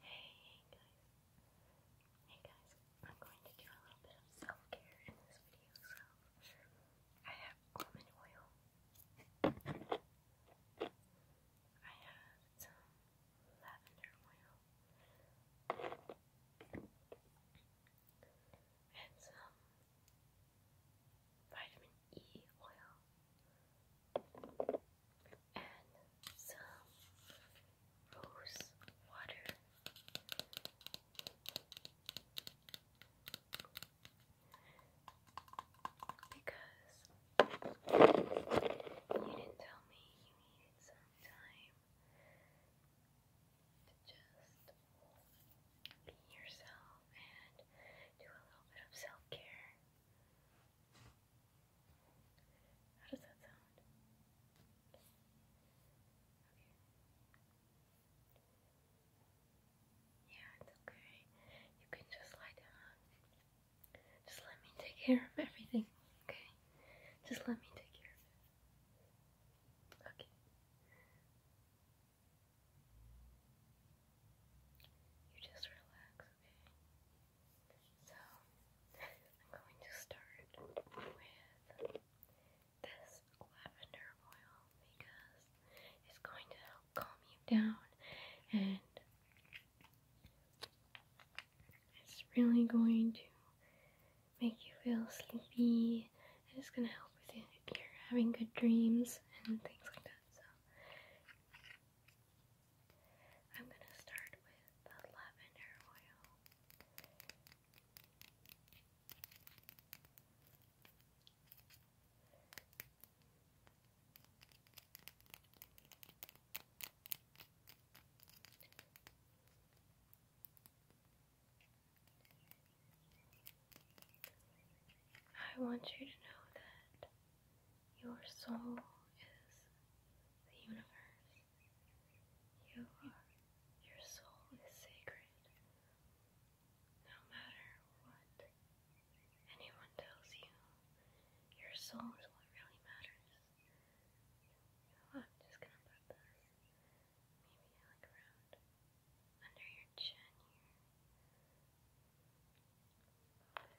Hey, hey guys. Hey guys, I'm going to do a little bit of self-care in this video, so I have almond oil. I have lavender oil. And some vitamin E oil and some rose water. Because you didn't tell me you needed some time to just be yourself and do a little bit of self care. How does that sound? Yeah, it's okay. You can just lie down. Just let me take care of everything, okay? Just let me take care of it. Okay. You just relax, okay? So, I'm going to start with this lavender oil because it's going to help calm you down and it's really going to make you feel sleepy and it's going to help with it if you're having good dreams and things like that. So, I'm going to start with the lavender oil. I want you to know that your soul is the universe. You are, your soul is sacred. No matter what anyone tells you, your soul is what really matters. Oh, I'm just gonna put this maybe like around under your chin here.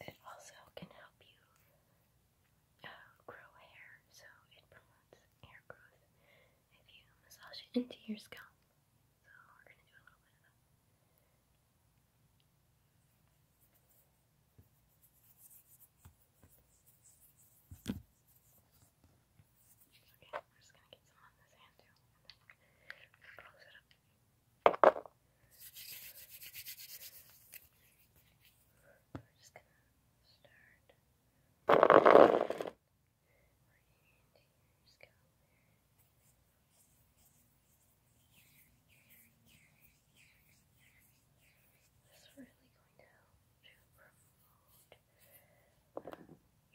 It also can help you uh, grow hair, so it promotes hair growth if you massage it into your scalp. So we're gonna do a little bit of that. Okay, I'm just gonna get some on this hand too, and then close it up. We're just gonna start right into your scalp really going to help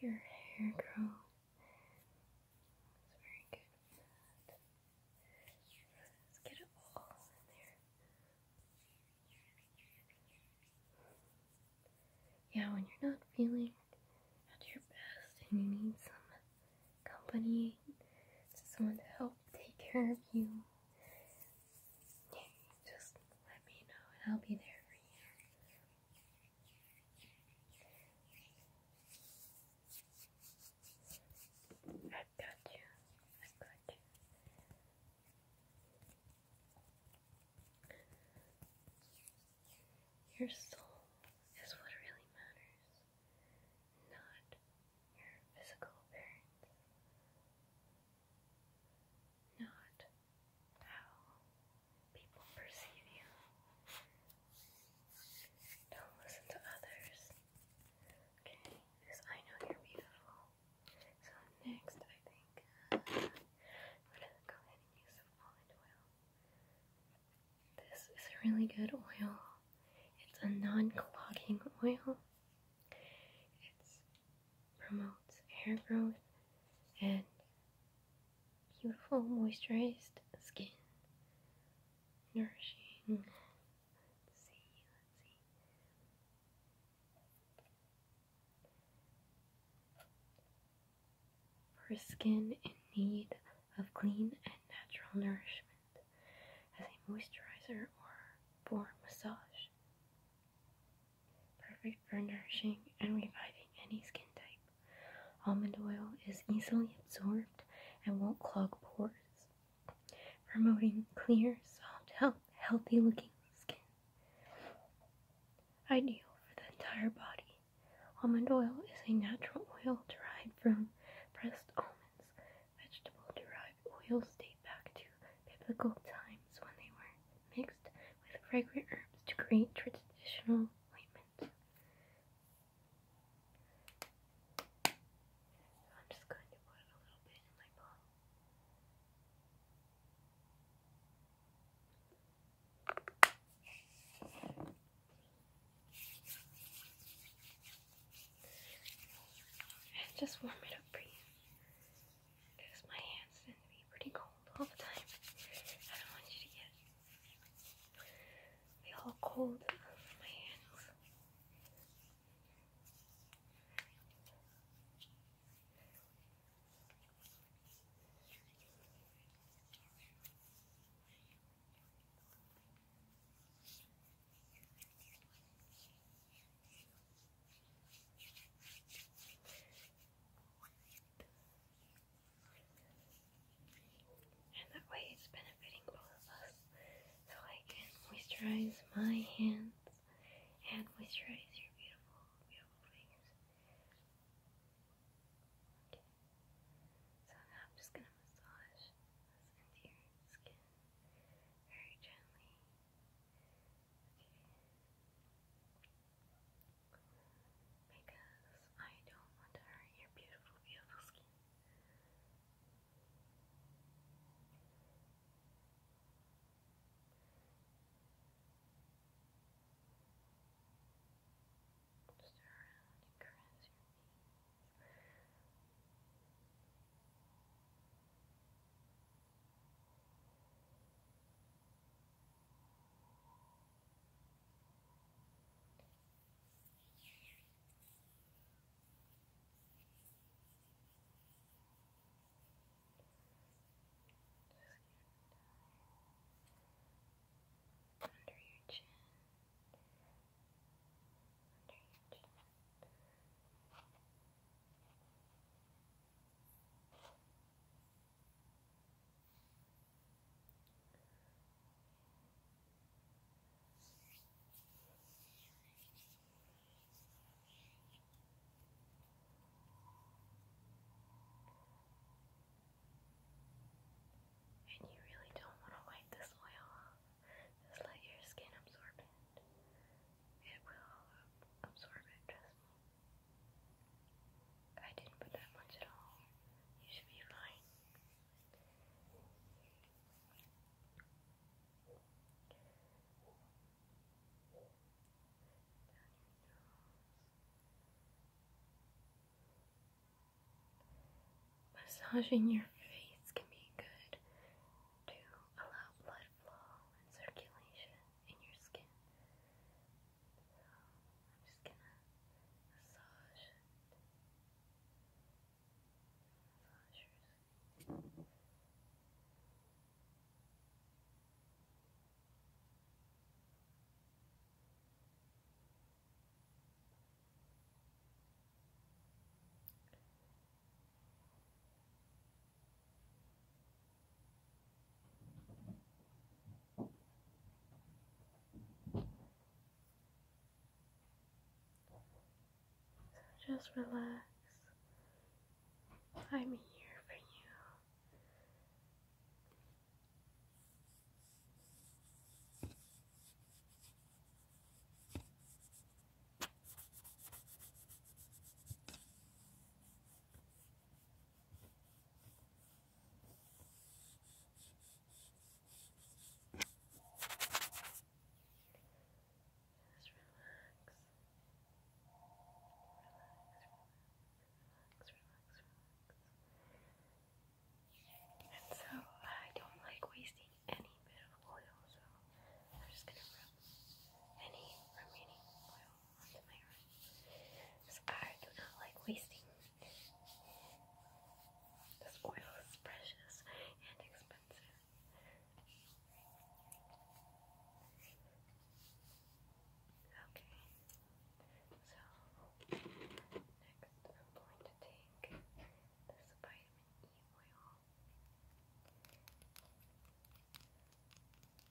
your hair grow. It's very good Let's get it all in there. Yeah, when you're not feeling at your best and you need some company, someone to help take care of you, just let me know and I'll be there for you. i got you. i got you. Your soul is what really matters, not your physical appearance, not how people perceive you. Don't listen to others. Okay, because I know you're beautiful. So next, I think uh, i gonna go ahead and use some almond oil. This is a really good oil. It's a non-clogging oil. It's promotes hair growth and beautiful moisturized skin. Nourishing. Let's see, let's see. For skin in need of clean and natural nourishment as a moisturizer or for massage perfect for nourishing and reviving any skin type. Almond oil is easily absorbed and won't clog pores, promoting clear, soft, healthy looking skin. Ideal for the entire body. Almond oil is a natural oil derived from pressed almonds. Vegetable derived oils date back to biblical times when they were mixed with fragrant herbs to create traditional ointments. just warm it up for you because my hands tend to be pretty cold all the time. I don't want you to get they cold my hands. And that way it's benefiting both of us. So I can moisturize my hands and moisturize your beautiful, beautiful face. So now I'm just gonna massage this into your skin very gently. Because I don't want to hurt your beautiful, beautiful skin. Just around and caress your under your chin. Under your chin. Under your chin. And you really don't want to wipe this oil off. Just let your skin absorb it. It will absorb it, trust I didn't put that much at all. You should be fine. Massaging your face can be good to allow blood flow and circulation in your skin. I'm just gonna massage it. Massage your skin. Just so just relax. I'm here for you. And so I don't like wasting any bit of oil, so I'm just gonna rub any remaining oil look I do not like wasting. This oil is precious and expensive. Okay. So next I'm going to take this vitamin E oil.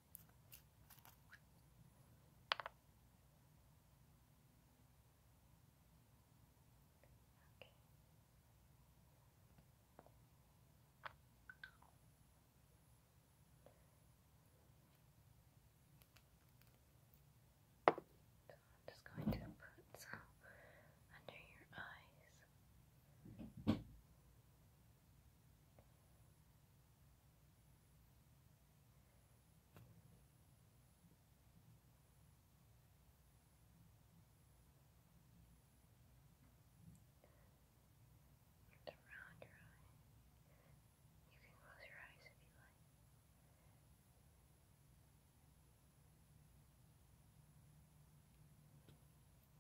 So I'm just going to put some under your eyes around your eye. You can close your eyes if you like. Alright.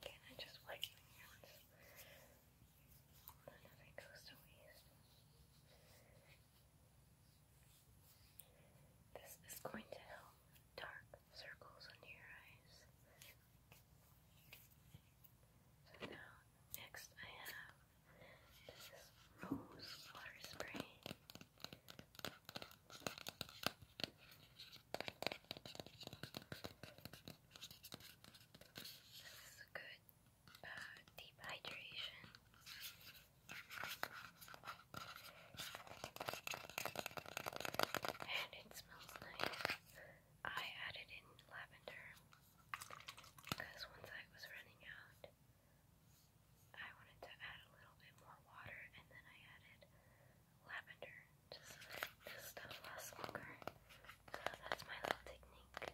Again, I just like doing hands. This is going to help dark circles under your eyes. So now, next I have this rose water spray. This is a good uh, deep hydration. And it smells nice. I added in lavender because once I was running out, I wanted to add a little bit more water, and then I added lavender. Just this stuff lasts longer. So that's my little technique. But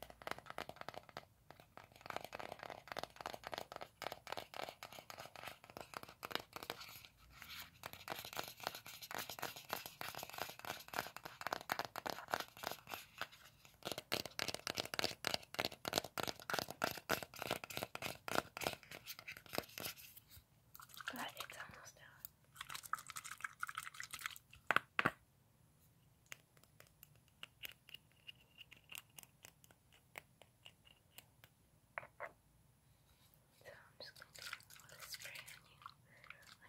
it's almost done. So I'm just going to do a spray on you, on your face. There.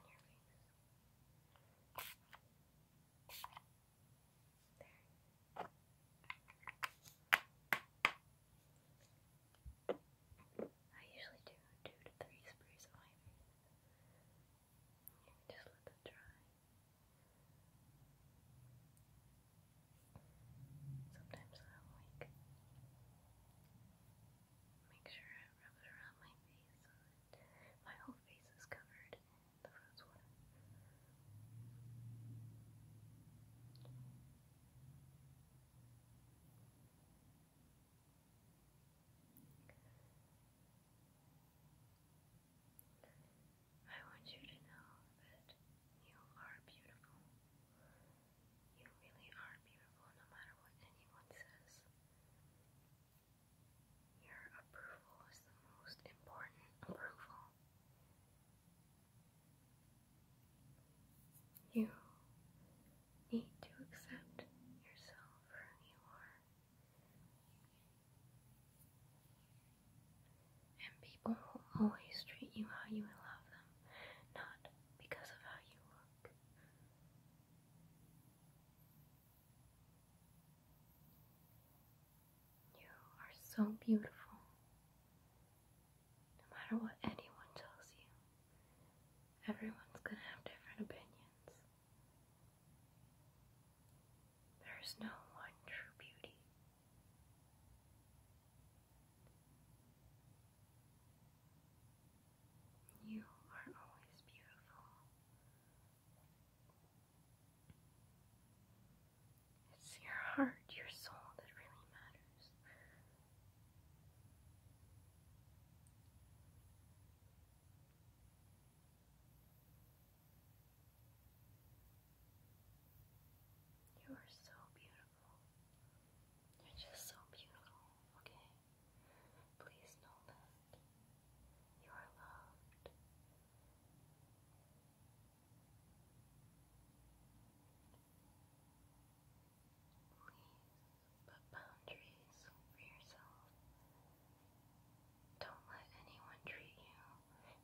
I usually do two to three sprays on my just let that dry. Sometimes I'll make sure I rub it around my face so my whole face is covered the rose water. I want you to know that you are beautiful. You really are beautiful no matter what anyone says. Your approval is the most important approval. You need to accept yourself for who you are. And people will always treat you how you love them, not because of how you look. You are so beautiful, no matter what anyone tells you. Everyone's gonna have different opinions. There is no one true beauty. You are always beautiful. It's your heart, your soul that really matters. You are so beautiful. You're just so beautiful, okay? Please know that. You are loved. Please Put boundaries for yourself. Don't let anyone treat you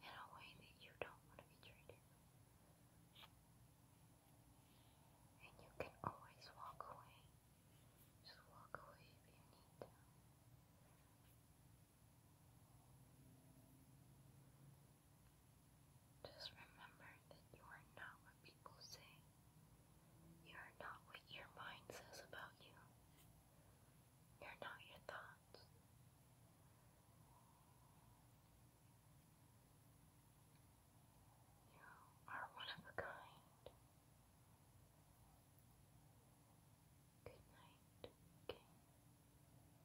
in a way that you don't want to be treated. And you can always walk away. Just walk away if you need to. Just remember that you are not what people say. You are not what your mind says about you. You're not your thoughts. You are one of a kind. Good night. Okay.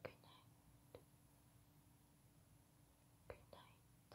Good night. Good night.